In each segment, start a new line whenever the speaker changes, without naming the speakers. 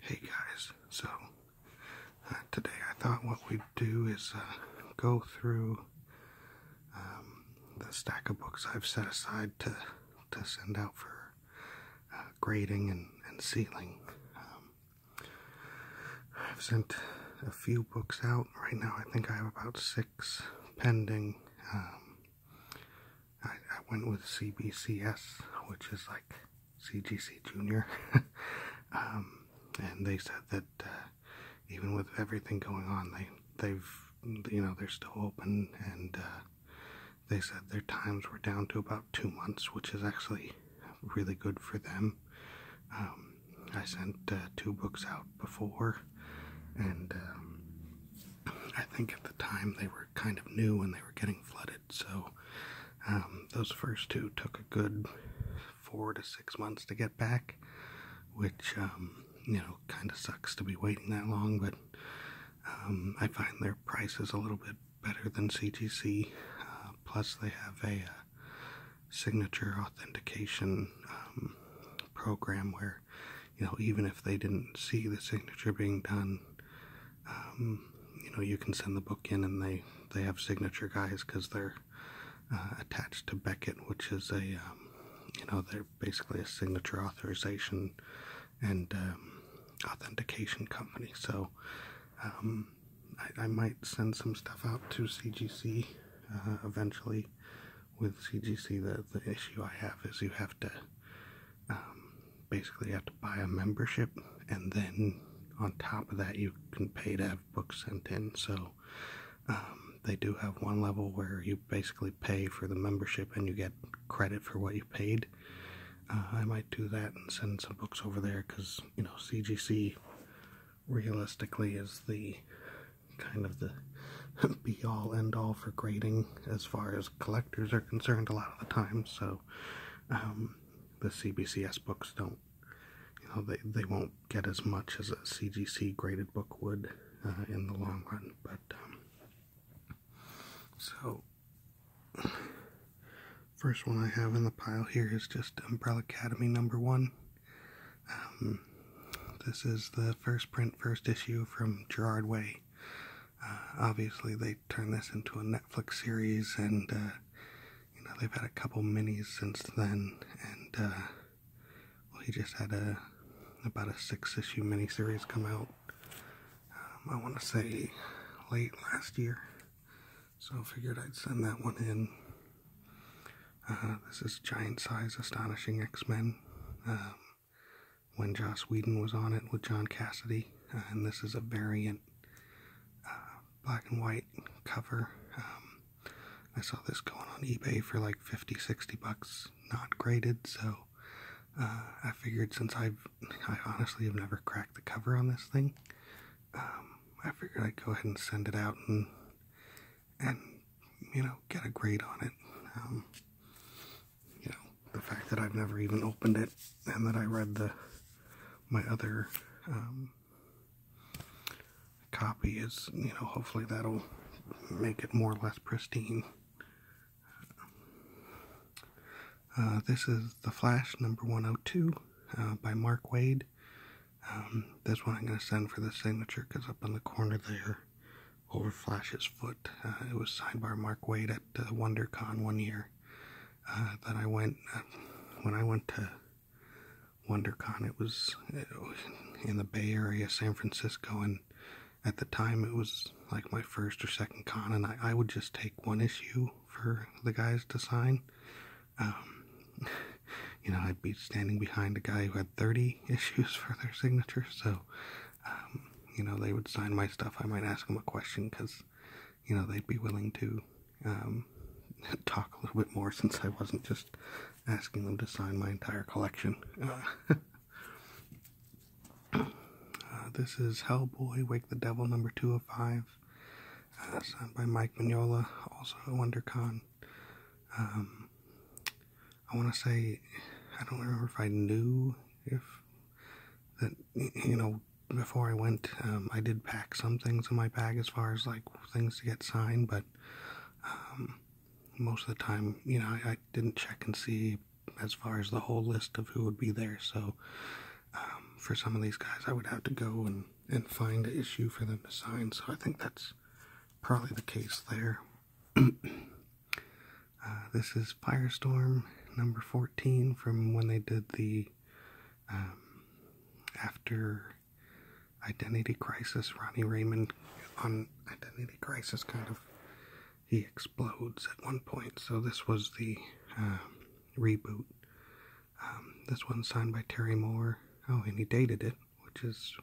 Hey guys, so uh, today I thought what we'd do is uh, go through um, the stack of books I've set aside to, to send out for uh, grading and, and sealing. Um, I've sent a few books out. Right now I think I have about six pending. Um, I, went with CBCS, which is like CGC Junior, um, and they said that uh, even with everything going on, they they've you know they're still open, and uh, they said their times were down to about two months, which is actually really good for them. Um, I sent uh, two books out before, and um, I think at the time they were kind of new and they were getting flooded so um, those first two took a good four to six months to get back, which um, you know kind of sucks to be waiting that long. But um, I find their prices a little bit better than CTC. Uh, plus, they have a, uh, signature authentication program where you know even if they didn't see the signature being done um, you know you can send the book in and they they have signature guys because they're uh, attached to Beckett, which is a um, you know they're basically a signature authorization and um, authentication company. So I, might send some stuff out to CGC uh, eventually. With CGC, the the issue I have is you have to um, basically, you have to buy a membership, and then on top of that, you can pay to have books sent in. So um, they do have one level where you basically pay for the membership and you get credit for what you paid. Uh, I might do that and send some books over there because you know CGC realistically is the kind of the be all and all for grading as far as collectors are concerned a lot of the time so um, the CBCS books don't, you know, they they won't get as much as a CGC graded book would uh, in the long run. But um, so, first one I have in the pile here is just Umbrella Academy number one. Um, this is the first print, first issue from Gerard Way. Uh, obviously, they turned this into a Netflix series, and uh, you know they've had a couple minis since then. And uh, well, he just had a about a six-issue miniseries come out. Um, I want to say late last year, so I figured I'd send that one in. Uh-huh, this is Giant Size Astonishing X Men. Um, when Joss Whedon was on it with John Cassidy, and this is a variant. Uh, black and white cover. Um, I saw this going on eBay for like 50, 60 bucks, not graded, so uh, I figured since I've, I honestly have never cracked the cover on this thing, um, I figured I'd go ahead and send it out and, and you know, get a grade on it. Um, you know, the fact that I've never even opened it and that I read the my other um, copy is, you know, hopefully that'll make it more or less pristine. Uh, this is The Flash number 102 uh, by Mark Wade. Um, this one I'm going to send for the signature because up in the corner there, over Flash's foot, uh, it was signed by Mark Wade at WonderCon one year uh, that I went uh, when I went to WonderCon. It was, in the Bay Area, San Francisco, and at the time it was like my first or second con, and I, would just take one issue for the guys to sign. Um, you know, I'd be standing behind a guy who had 30 issues for their signature, so, um, you know, they would sign my stuff. I might ask them a question because you know they'd be willing to um, talk a little bit more since I wasn't just asking them to sign my entire collection. Uh, this is Hellboy, Wake the Devil, number two of five, uh, signed by Mike Mignola, also a WonderCon. Um, I want to say, I don't remember if I knew if that you know before I went, um, I did pack some things in my bag as far as like things to get signed, but um, most of the time, you know, I, didn't check and see as far as the whole list of who would be there. So um, for some of these guys, I would have to go and, and find an issue for them to sign. So I think that's probably the case there. Uh, this is Firestorm number 14 from when they did the um, after Identity Crisis, Ronnie Raymond on Identity Crisis kind of he explodes at one point. So this was the um, reboot. Um, this one's signed by Terry Moore. Oh, and he dated it, which is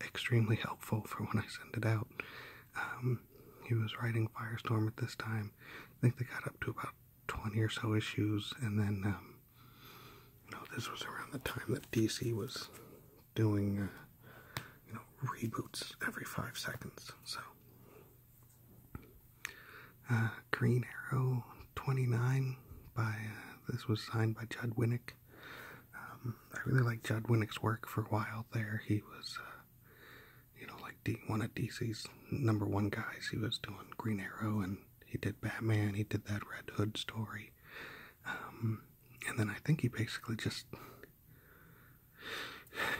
extremely helpful for when I send it out he was writing Firestorm at this time. I think they got up to about 20 or so issues, and then, um, you know, this was around the time that DC was doing, uh, you know, reboots every five seconds. So, uh, Green Arrow 29 by, uh, this was signed by Judd Winnick. Um, I really liked Judd Winnick's work for a while there. He was, you know, like one of DC's number one guys. He was doing Green Arrow, and he did Batman. He did that Red Hood story, um, and then I think he basically just,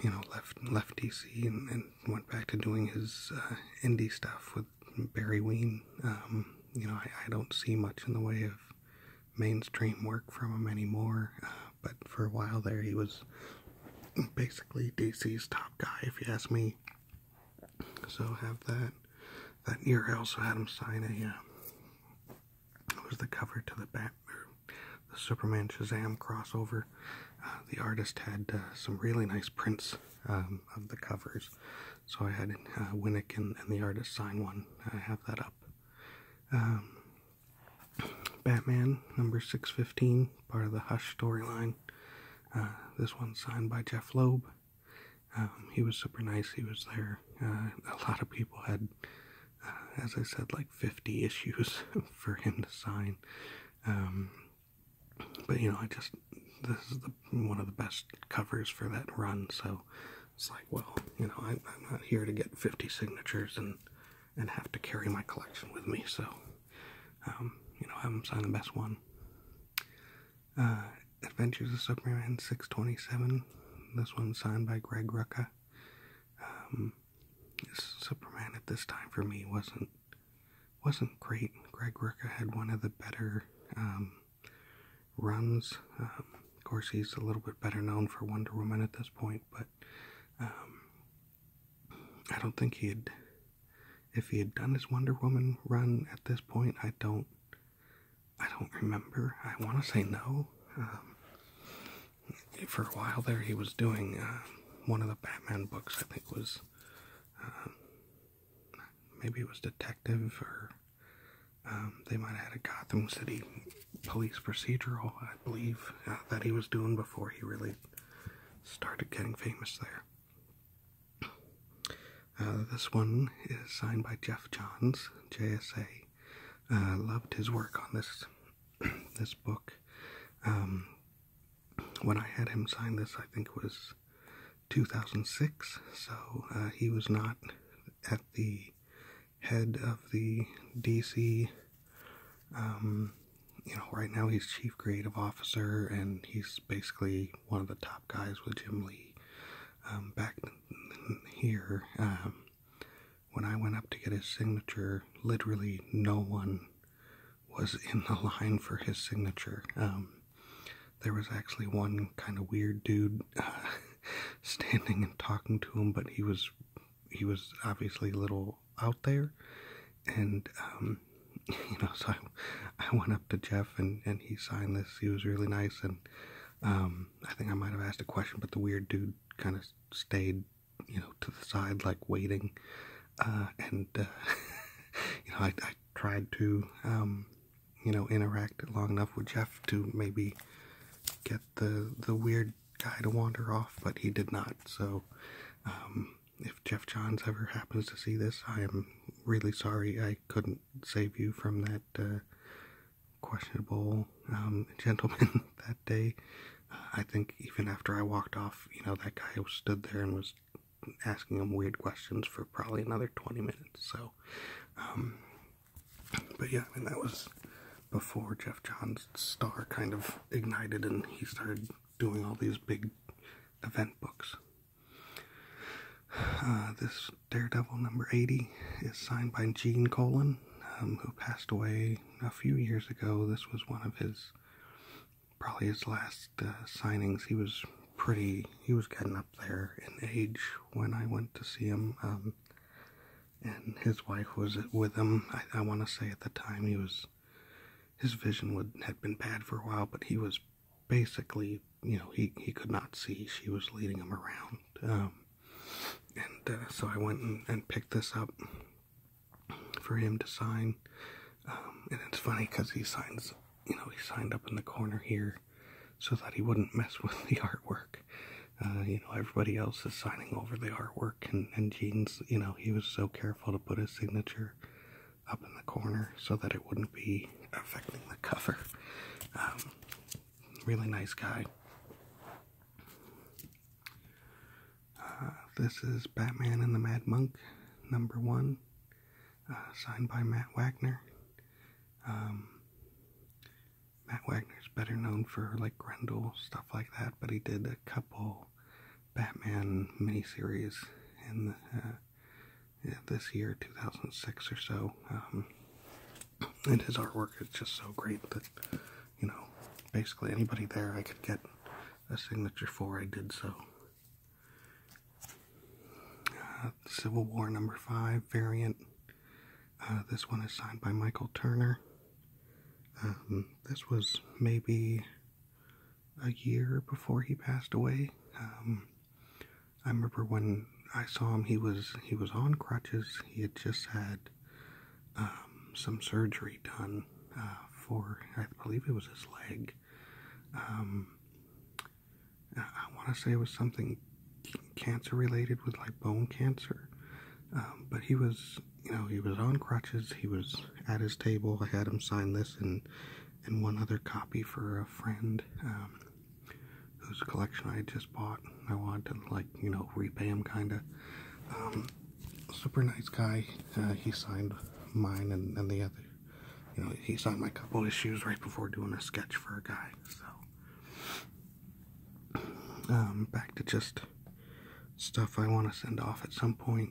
you know, left left DC and, went back to doing his uh, indie stuff with Barry Ween. Um, you know, I, don't see much in the way of mainstream work from him anymore. Um, but for a while there, he was basically DC's top guy, if you ask me. So have that. That year, I also had him sign a. Uh, it was the cover to the Bat the Superman Shazam crossover. Uh, the artist had uh, some really nice prints um, of the covers, so I had uh, Winnick and, the artist sign one. I have that up. Um, Batman number 615, part of the Hush storyline. Uh, this one's signed by Jeff Loeb. Um, he was super nice. He was there. Uh, a lot of people had, uh, as I said, like 50 issues for him to sign. Um, but you know, I just this is one of the best covers for that run. So it's like, well, you know, I, I'm not here to get 50 signatures and and have to carry my collection with me. So. Um, you know, have them sign the best one. Uh, Adventures of Superman 627. This one's signed by Greg Rucka. Um, Superman at this time for me wasn't wasn't great. Greg Rucka had one of the better um, runs. of course, he's a little bit better known for Wonder Woman at this point, but I don't think he'd if he had done his Wonder Woman run at this point. I don't I don't remember. I want to say no. Um, for a while there, he was doing uh, one of the Batman books. I think was um, maybe it was Detective or um, they might have had a Gotham City police procedural, I believe, uh, that he was doing before he really started getting famous there. Uh, this one is signed by Jeff Johns, JSA. Uh, loved his work on this this book. Um, when I had him sign this, I think it was 2006. So uh, he was not at the head of the DC um, you know, right now he's chief creative officer, and he's basically one of the top guys with Jim Lee. Um, back here, um, when I went up to get his signature, literally no one was in the line for his signature. there was actually one kind of weird dude standing and talking to him, but he was he was obviously a little out there, and um, you know, so I, went up to Jeff and and he signed this. He was really nice, and um, I think I might have asked a question, but the weird dude kind of stayed, you know, to the side like waiting, uh, and uh, you know, I, tried to um, you know interact long enough with Jeff to maybe get the the weird guy to wander off, but he did not. So, if Jeff Johns ever happens to see this, I am really sorry I couldn't save you from that uh, questionable um, gentleman that day. I think even after I walked off, you know, that guy stood there and was asking him weird questions for probably another 20 minutes. So, um, but yeah, I mean, that was before Jeff Johns' star kind of ignited and he started doing all these big event books. Uh, this Daredevil number 80 is signed by Gene Colan, um, who passed away a few years ago. This was one of his, probably his last uh, signings. He was pretty, he was getting up there in age when I went to see him. Um, and his wife was with him. I want to say at the time he was his vision would had been bad for a while, but he was basically, you know, he he could not see. She was leading him around, um, and uh, so I went and, picked this up for him to sign. Um, and it's funny because he signs, you know, he signed up in the corner here so that he wouldn't mess with the artwork. Uh, you know, everybody else is signing over the artwork, and, and Gene's, you know, he was so careful to put his signature up in the corner so that it wouldn't be affecting the cover. Um, really nice guy. Uh, this is Batman and the Mad Monk, number one, uh, signed by Matt Wagner. Um, Matt Wagner is better known for like Grendel, stuff like that, but he did a couple Batman miniseries in uh, this year, 2006 or so. Um, and his artwork is just so great that, you know, basically anybody there I could get a signature for, I did so. Uh, Civil War number five variant. Uh, this one is signed by Michael Turner. Um, this was maybe a year before he passed away. Um, I remember when I saw him, he was he was on crutches. He had just had um, some surgery done uh, for, I believe it was his leg. Um, I want to say it was something cancer related with like bone cancer, but he was you know, he was on crutches, he was at his table. I had him sign this and and one other copy for a friend um, whose collection I just bought. I wanted to like, you know, repay him kind of. Um, super nice guy. Uh, he signed mine and, and the other. You know, he signed my couple issues right before doing a sketch for a guy. So, um, back to just stuff I want to send off at some point.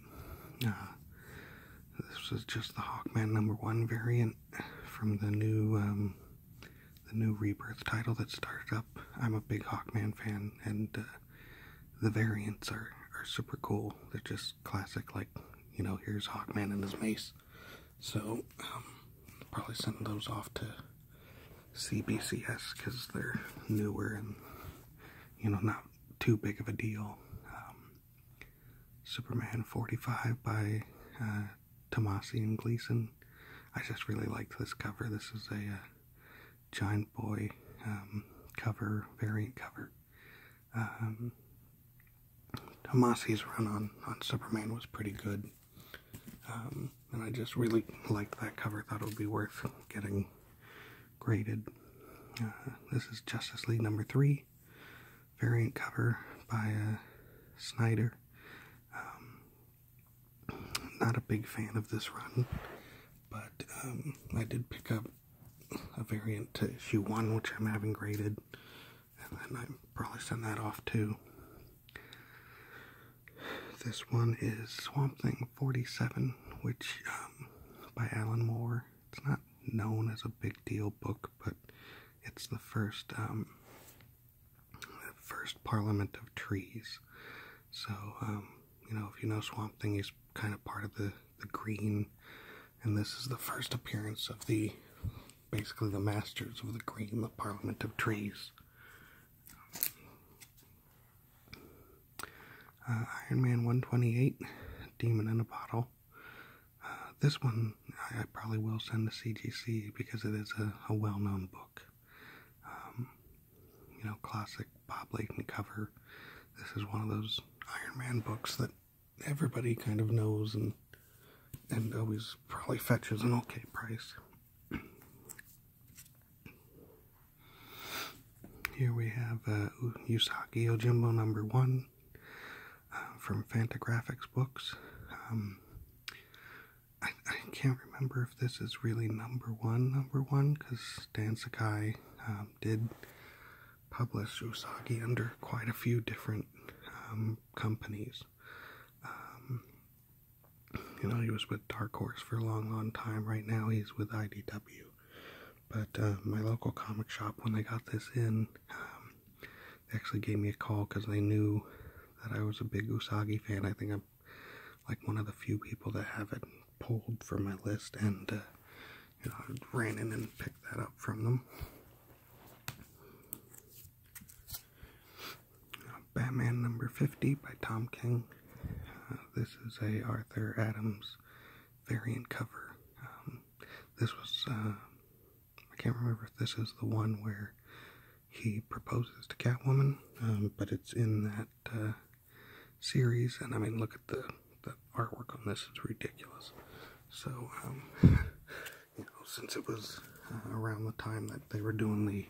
Uh, this was just the Hawkman number one variant from the new um, the new Rebirth title that started up. I'm a big Hawkman fan, and uh, the variants are are super cool. They're just classic, like you know, here's Hawkman and his mace. So um, probably send those off to CBCS because they're newer and you know not too big of a deal. Um, Superman 45 by uh, Tomasi and Gleason. I just really liked this cover. This is a uh, giant boy um, cover, variant cover. Um, Tomasi's run on, on Superman was pretty good. Um, and I just really liked that cover. Thought it would be worth getting graded. Uh, this is Justice League number three, variant cover by uh, Snyder. Um, not a big fan of this run, but um, I did pick up a variant to issue one, which I'm having graded, and then I probably send that off too. This one is Swamp Thing 1947, which um, by Alan Moore. It's not known as a big deal book, but it's the first um, first Parliament of Trees. So um, you know, if you know Swamp Thing, he's kind of part of the the green, and this is the first appearance of the basically the masters of the green, the Parliament of Trees. Uh, Iron Man 128, Demon in a Bottle. Uh, this one I, probably will send to CGC because it is a, well known book. Um, you know, classic Bob Layton cover. This is one of those Iron Man books that everybody kind of knows and and always probably fetches an okay price. Here we have uh, Usagi Ojimbo number one uh, from Fantagraphics Books. Um, I, can't remember if this is really number one, number one, because Dan Sakai um, did publish Usagi under quite a few different um, companies. you know, he was with Dark Horse for a long, long time. Right now, he's with IDW. But uh, my local comic shop, when they got this in, um, they actually gave me a call because they knew that I was a big Usagi fan. I think I'm like one of the few people that have it pulled from my list, and uh, you know, I ran in and picked that up from them. Uh, Batman number 50 by Tom King. this is a Arthur Adams variant cover. Um, this was, uh, I can't remember if this is the one where he proposes to Catwoman, um, but it's in that uh, series. And I mean, look at the, the artwork on this, it's ridiculous. So, um, you know, since it was uh, around the time that they were doing the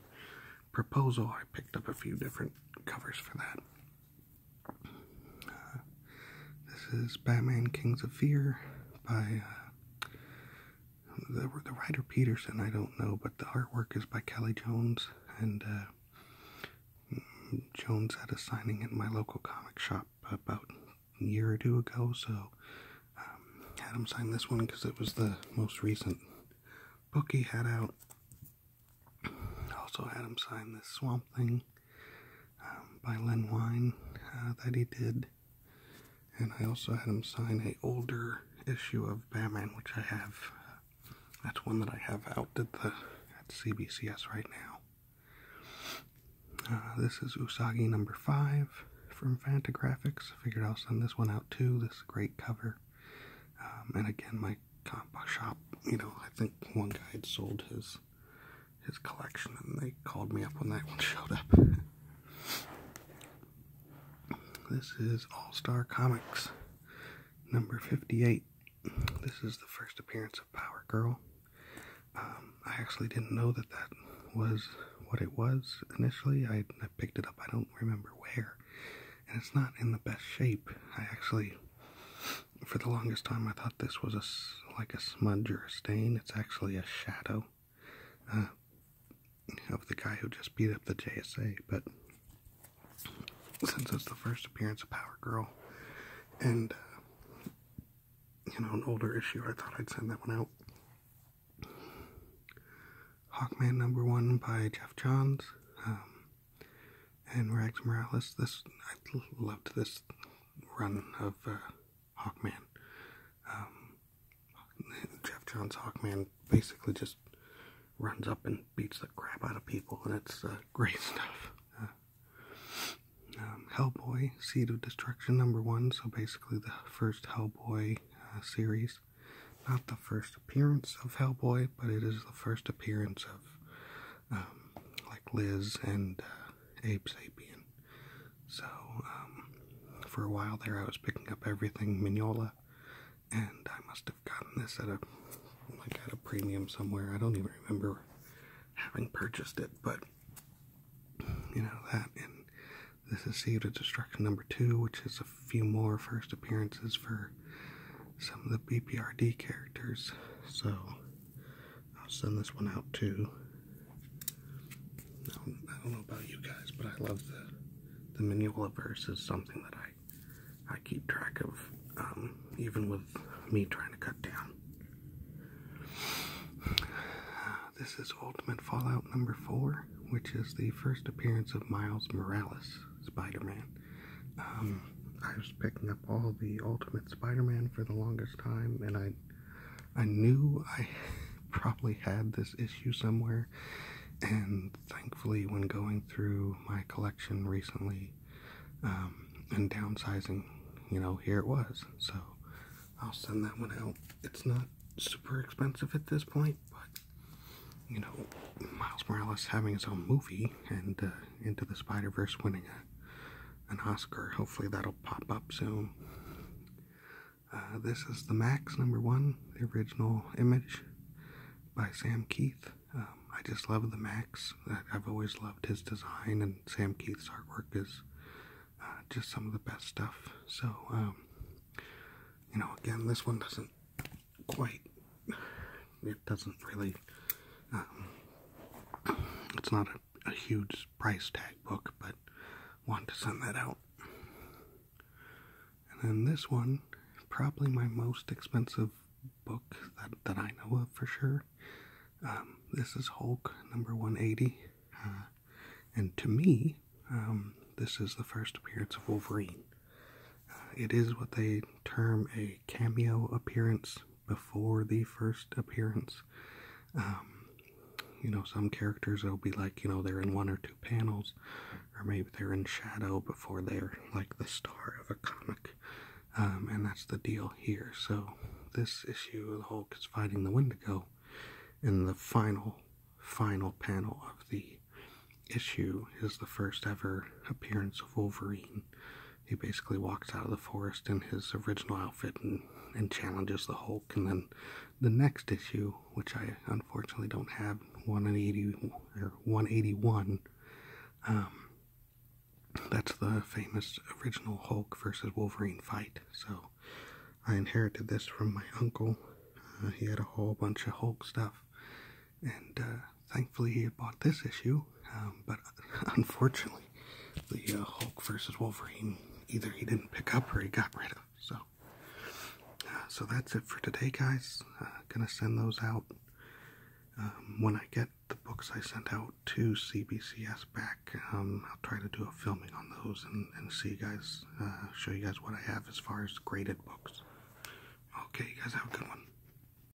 proposal, I picked up a few different covers for that this is Batman Kings of Fear by uh, the, the writer Peterson, I don't know, but the artwork is by Kelly Jones, and uh, Jones had a signing at my local comic shop about a year or two ago, so um, had him sign this one because it was the most recent book he had out also had him sign this Swamp Thing um, by Len Wein uh, that he did. And I also had him sign a older issue of Batman, which I have. that's one that I have out at the at CBCS right now. Uh, this is Usagi number five from Fantagraphics. Figured I'll send this one out too. This great cover. Um, and again, my my shop, you know, I think one guy had sold his his collection and they called me up when that one showed up. this is All Star Comics number 58. This is the first appearance of Power Girl. Um, I actually didn't know that that was what it was initially. I picked it up, I don't remember where. And it's not in the best shape. I actually for the longest time, I thought this was a, like a smudge or a stain. It's actually a shadow uh, of the guy who just beat up the JSA. But since it's the first appearance of Power Girl and, uh, you know, an older issue, I thought I'd send that one out. Hawkman number one by Jeff Johns. Um, and Rags Morales. This I loved this run of uh, Hawkman. Um, Jeff Johns Hawkman basically just runs up and beats the crap out of people, and it's uh, great stuff. Uh, um, Hellboy, Seed of Destruction, number one. So basically, the first Hellboy series. Not the first appearance of Hellboy, but it is the first appearance of um, like Liz and uh, Abe So um, for a while there, I was picking up everything Mignola, and I must have gotten this at a like at a premium somewhere. I don't even remember having purchased it, but you know that. And this is Seed of Destruction number two, which is a few more first appearances for some of the BPRD characters. So I'll send this one out too. I don't, know about you guys, but I love the the Manulaverse is something that I I keep track of, um, even with me trying to cut down. This is Ultimate Fallout number four, which is the first appearance of Miles Morales, Spider-Man. Um, I was picking up all the Ultimate Spider-Man for the longest time, and I I knew I probably had this issue somewhere, and thankfully, when going through my collection recently um, and downsizing, you know, here it was. So I'll send that one out. It's not super expensive at this point, but you know, Miles Morales having his own movie and uh, into the Spider Verse winning an Oscar. Hopefully that'll pop up soon. Uh, this is the Max number one, the original image by Sam Keith. Um, I just love the Max. I've always loved his design, and Sam Keith's artwork is uh, just some of the best stuff. So, um, you know, again, this one doesn't quite it doesn't really, um, it's not a, huge price tag book, but want to send that out. And then this one, probably my most expensive book that, that I know of for sure. Um, this is Hulk number 180. Uh, and to me, um, this is the first appearance of Wolverine. Uh, it is what they term a cameo appearance, before the first appearance. Um, you know, some characters will be like, you know, they're in one or two panels, or maybe they're in shadow before they're like the star of a comic. Um, and that's the deal here. So, this issue, the Hulk is fighting the Wendigo and the final, final panel of the issue is the first ever appearance of Wolverine he basically walks out of the forest in his original outfit and, and challenges the Hulk. And then the next issue, which I unfortunately don't have, 180 or 181, um, that's the famous original Hulk versus Wolverine fight. So I inherited this from my uncle. Uh, he had a whole bunch of Hulk stuff, and uh, thankfully he bought this issue. Um, but unfortunately, the uh, Hulk versus Wolverine either he didn't pick up or he got rid of. So, uh, so that's it for today, guys. Uh, gonna send those out um, when I get the books I sent out to CBCS back. Um, I'll try to do a filming on those and, and see you guys, show you guys what I have as far as graded books. Okay, you guys have a good one.